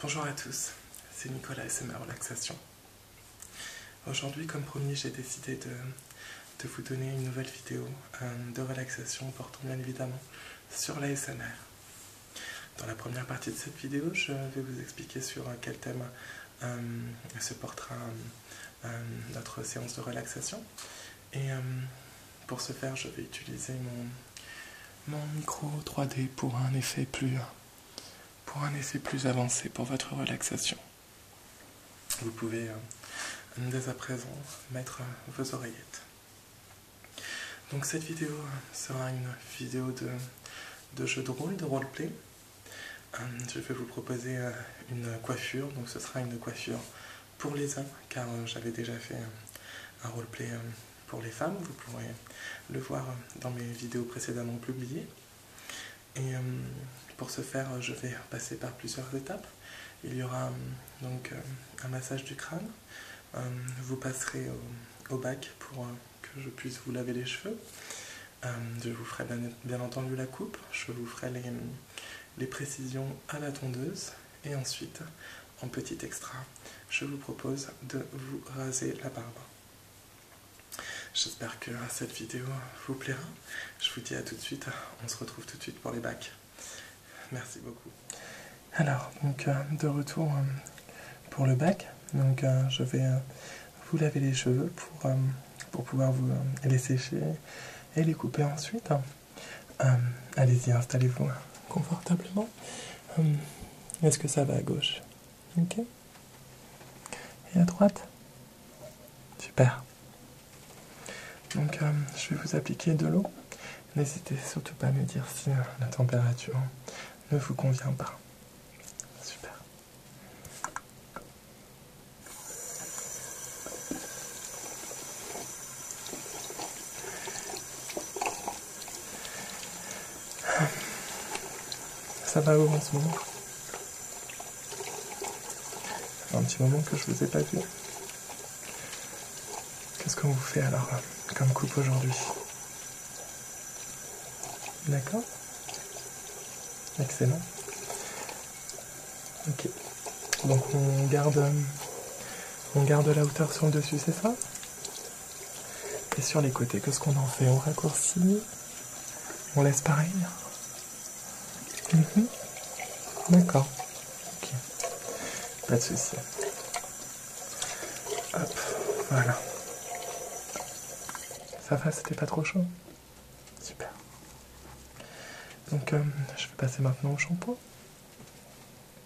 Bonjour à tous, c'est Nicolas SMR Relaxation. Aujourd'hui, comme promis, j'ai décidé de, vous donner une nouvelle vidéo euh, de relaxation portant bien évidemment sur la SMR. Dans la première partie de cette vidéo, je vais vous expliquer sur quel thème euh, se portera euh, notre séance de relaxation. Et pour ce faire, je vais utiliser mon, mon micro 3D pour un effet plus pour un effet plus avancé pour votre relaxation. Vous pouvez euh, dès à présent mettre vos oreillettes. Donc cette vidéo euh, sera une vidéo de, jeu de rôle, de roleplay. Euh, je vais vous proposer une coiffure, donc ce sera une coiffure pour les uns, car j'avais déjà fait un roleplay pour les femmes, vous pourrez le voir dans mes vidéos précédemment publiées. Et euh, pour ce faire, je vais passer par plusieurs étapes. Il y aura euh, donc euh, un massage du crâne, vous passerez au, bac pour que je puisse vous laver les cheveux. je vous ferai bien, entendu la coupe, je vous ferai les précisions à la tondeuse et ensuite en petit extra, je vous propose de vous raser la barbe. J'espère que cette vidéo vous plaira. Je vous dis à tout de suite. On se retrouve tout de suite pour les bacs. Merci beaucoup. Alors, donc, euh, de retour euh, pour le bac. Donc, euh, je vais vous laver les cheveux pour, pouvoir vous les sécher et les couper ensuite. Euh, allez-y, installez-vous hein. confortablement. Euh, est-ce que ça va à gauche Ok. Et à droite Super. Donc, euh, je vais vous appliquer de l'eau. N'hésitez surtout pas à me dire si la température ne vous convient pas. Super. Ça va où en ce moment un petit moment que je vous ai pas vu. Qu'est-ce qu'on vous fait alors comme coupe aujourd'hui D'accord Excellent. Ok. Donc on garde euh, on garde la hauteur sur le dessus, c'est ça Et sur les côtés, qu'est-ce qu'on en fait On raccourcit On laisse pareil mhm. D'accord. Ok. Pas de souci. Hop, voilà. Ça va, c'était pas trop chaud Super. Donc, euh, je vais passer maintenant au shampoing.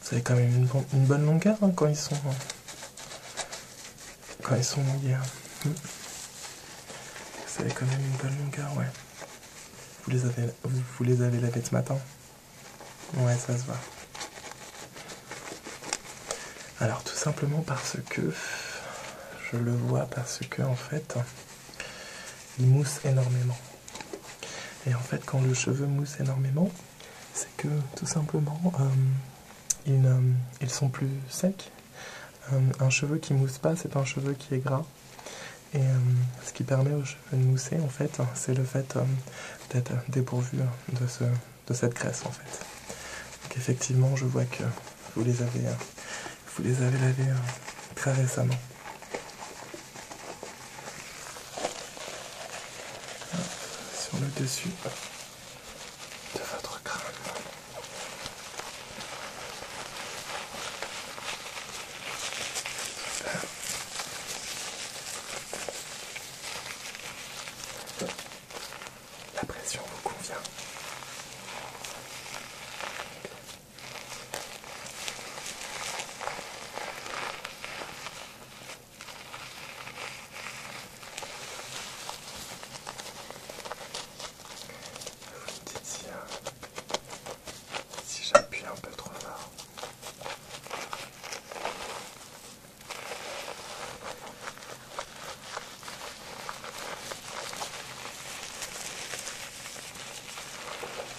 Vous avez quand même une, bonne longueur hein, quand ils sont quand ils sont hmm. Vous avez quand même une bonne longueur, ouais. Vous les avez, vous, les avez lavés ce matin Ouais, ça se voit. Alors tout simplement parce que je le vois parce que en fait ils mousse énormément. Et en fait, quand le cheveu mousse énormément, c'est que tout simplement euh, ils, ils sont plus secs. Euh, un cheveu qui mousse pas, c'est un cheveu qui est gras. Et euh, ce qui permet aux cheveux de mousser, en fait, c'est le fait d'être dépourvu de, de cette graisse, en fait. Donc effectivement, je vois que vous les avez, vous les avez lavés très récemment sur le dessus de votre crâne. La pression vous convient. Vous dites si, si j'appuie un peu trop fort.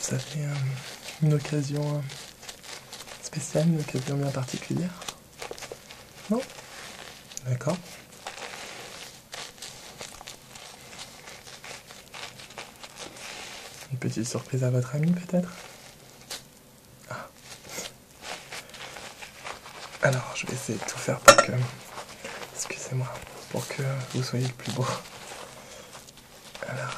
Ça fait euh, une occasion euh, spéciale, une occasion bien particulière Non D'accord. Une petite surprise à votre ami peut-être ah. Alors, je vais essayer de tout faire pour que... Excusez-moi, pour que vous soyez le plus beau. Alors...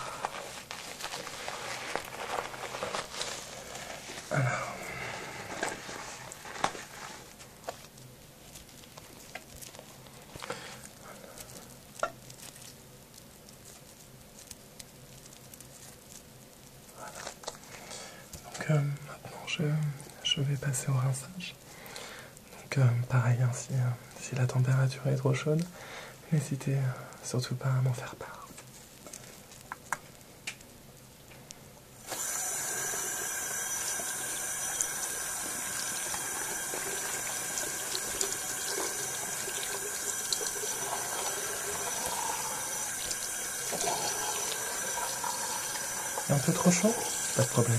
Donc euh, maintenant je, vais passer au rinçage. Donc euh, pareil, hein, euh, si la température est trop chaude, n'hésitez surtout pas à m'en faire part. Un peu trop chaud Pas de problème.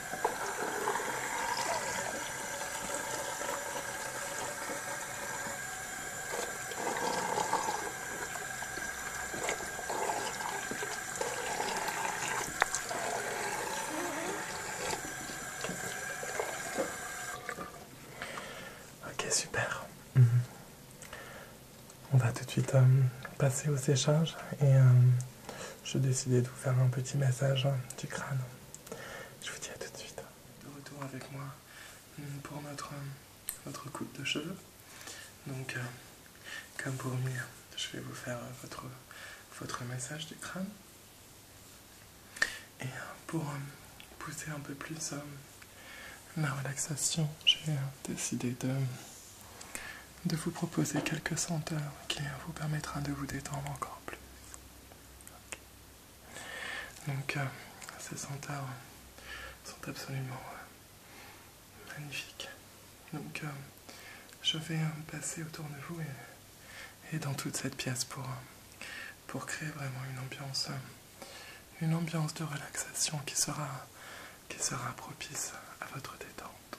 Ok, super. Mhm. On va tout de suite euh, passer au séchage et euh, je décidais de vous faire un petit message hein, du crâne. Je vous dis à tout de suite. De retour avec moi mm, pour notre, euh, coupe de cheveux. Donc, comme pour mieux, je vais vous faire votre, votre du crâne. Et pour pousser un peu plus la relaxation, j'ai décider de, vous proposer quelques senteurs qui vous permettra de vous détendre encore plus. Donc euh, ces senteurs sont absolument euh, magnifiques. Donc euh, je vais passer autour de vous et, dans toute cette pièce pour, créer vraiment une ambiance, une ambiance de relaxation qui sera propice à votre détente.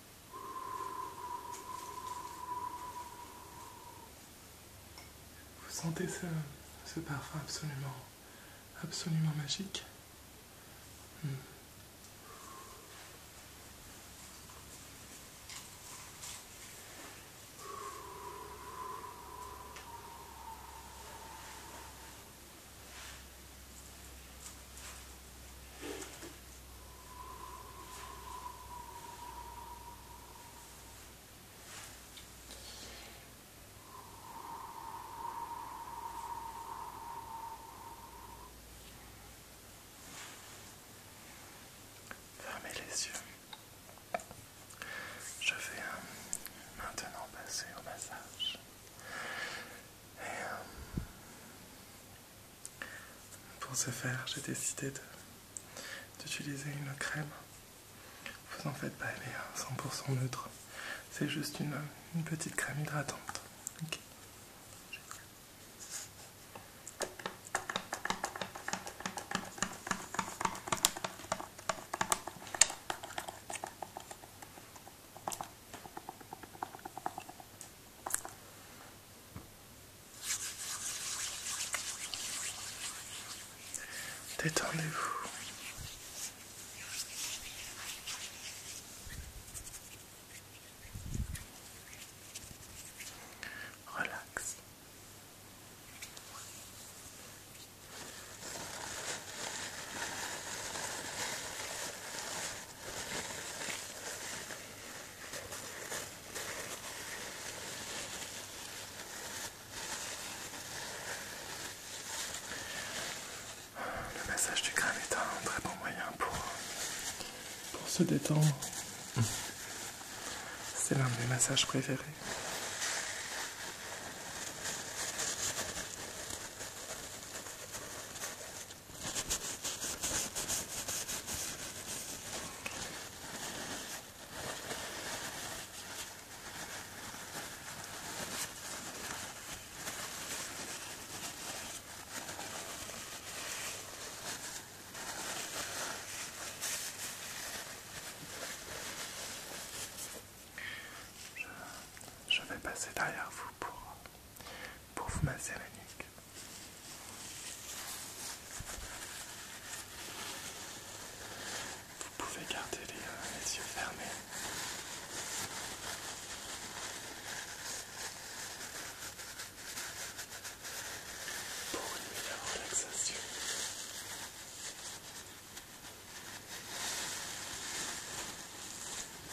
Vous sentez ce, parfum absolument, absolument magique hmm. Fermez les yeux. Je vais euh, maintenant passer au massage. Et, euh, pour ce faire, j'ai décidé d'utiliser une crème. Vous en faites pas, elle 100% hein, neutre. C'est juste une, euh, petite crème hydratante. Détendez-vous. Relax. Le massage du crâne est un très bon moyen pour, se détendre. C'est l'un de mes massages préférés. Je, vais passer derrière vous pour pour vous masser la nuque. Vous pouvez garder euh, les, yeux fermés. Pour une meilleure relaxation.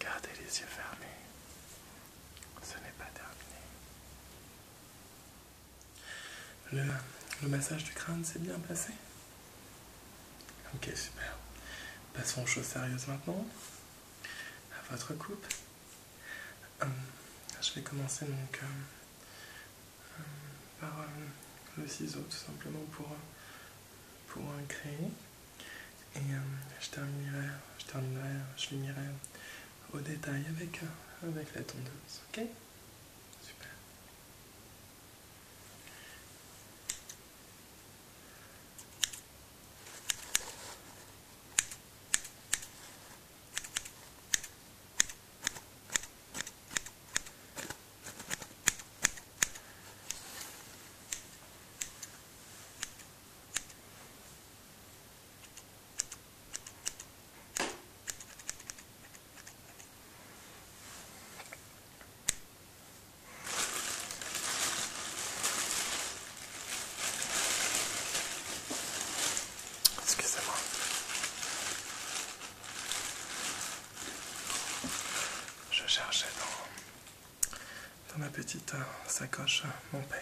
Gardez les yeux fermés. Ce n'est pas terminé. Le, massage du crâne s'est bien passé Ok, super. Passons aux choses sérieuses maintenant. À votre coupe. Hum, je vais commencer donc euh, hum, par euh, le ciseau tout simplement pour, pour et euh, je terminerai, je terminerai, je finirai au détail avec, euh, avec la tendance, ok Super. Excusez-moi. Je cherchais dans dans ma petite euh, sacoche euh, mon peigne.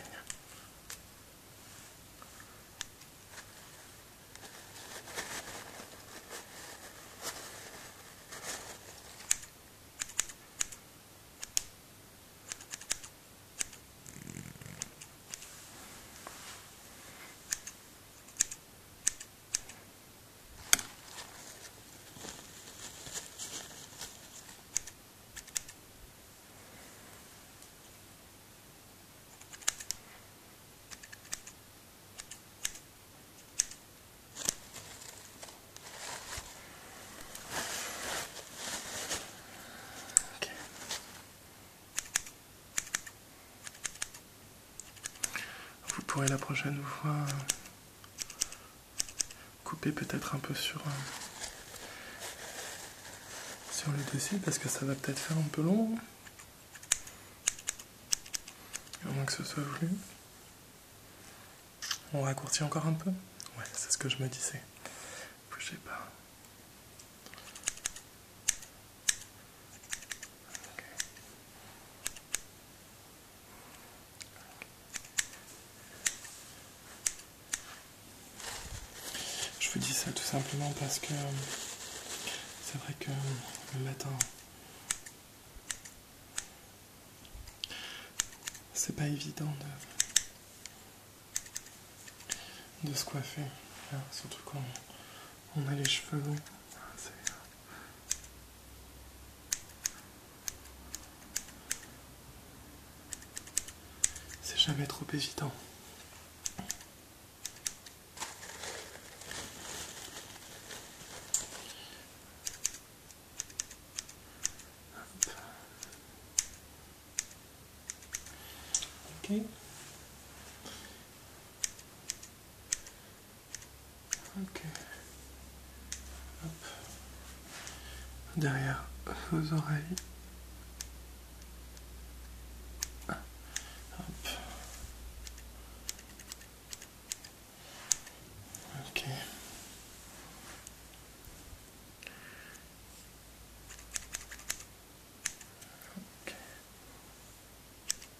Vous pourrez la prochaine fois couper peut-être un peu sur, euh, le dessus parce que ça va peut-être faire un peu long. Au moins que ce soit voulu. On raccourcit encore un peu Ouais, c'est ce que je me disais. Bougez pas. Je vous dis ça tout simplement parce que euh, c'est vrai que euh, le matin, c'est pas évident de, se coiffer, hein, surtout quand on a les cheveux longs. Ah, euh, c'est jamais trop évident. Derrière vos oreilles.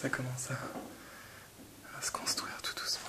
ça commence à se construire tout doucement.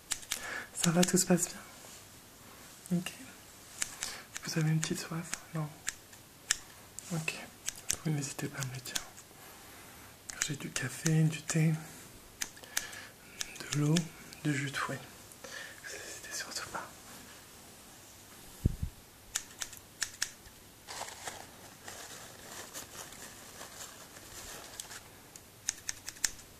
Ça va, tout se passe bien Ok. Vous avez une petite soif Non Ok. Vous n'hésitez pas à me le dire. J'ai du café, du thé, de l'eau, du jus de fouet. Vous n'hésitez surtout pas.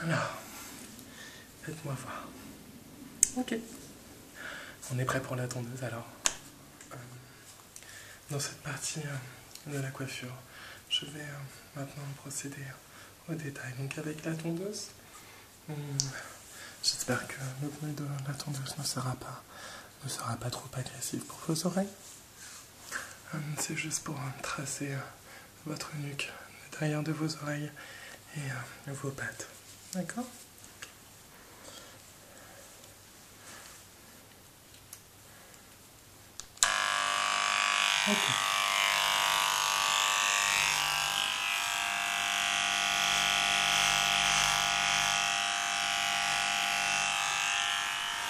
Alors, faites-moi voir. Ok. On est prêt pour la tondeuse alors. Euh, dans cette partie euh, de la coiffure, je vais euh, maintenant procéder au détail. Donc avec la tondeuse, hmm, j'espère que le bruit de la tondeuse ne sera pas, ne sera pas trop agressif pour vos oreilles. Euh, c'est juste pour euh, tracer euh, votre nuque, derrière de vos oreilles et vos pattes. D'accord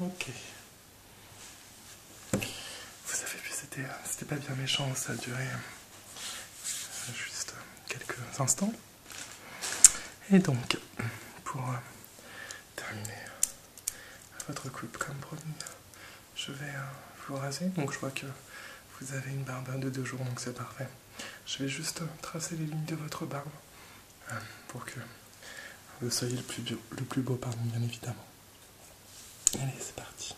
Ok. Vous avez vu, euh, c'était pas bien méchant, ça a duré euh, juste quelques instants. Et donc, pour euh, terminer votre coupe comme promis, je vais euh, vous raser. Donc je vois que vous avez une barbe de deux jours, donc c'est parfait. Je vais juste euh, tracer les lignes de votre barbe pour que vous soyez le plus, le plus beau, pardon, bien évidemment. Allez, c'est parti.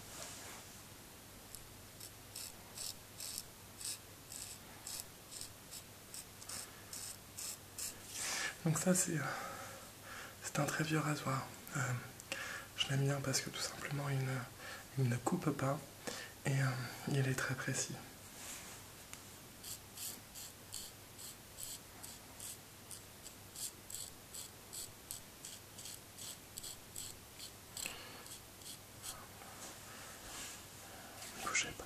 Donc ça euh, c'est un très vieux rasoir. Euh, je l'aime bien parce que tout simplement il ne, coupe pas et euh, il est très précis. Ne bougez pas.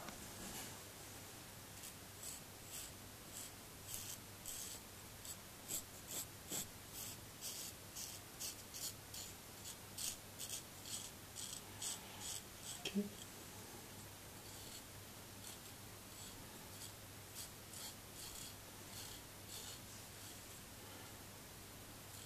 ok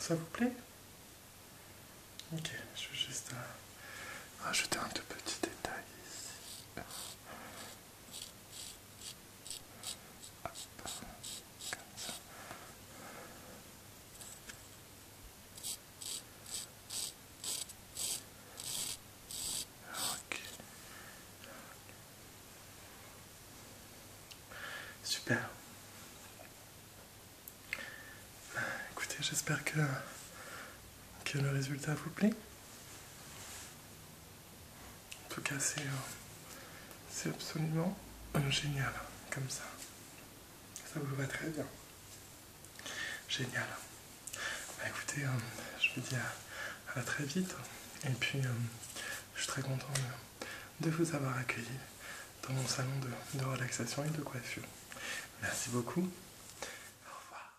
Ça vous plaît Ok, je vais juste à euh, rajouter un tout petit détail ici. Super. Écoutez, j'espère que que le résultat vous plaît. En tout cas, euh, c'est absolument génial, comme ça. Ça vous va très bien. Génial. Bah, écoutez, euh, je vous dis à, très vite. Et puis, euh, je suis très content de, vous avoir accueilli dans mon salon de, relaxation et de coiffure. Merci beaucoup. Au revoir.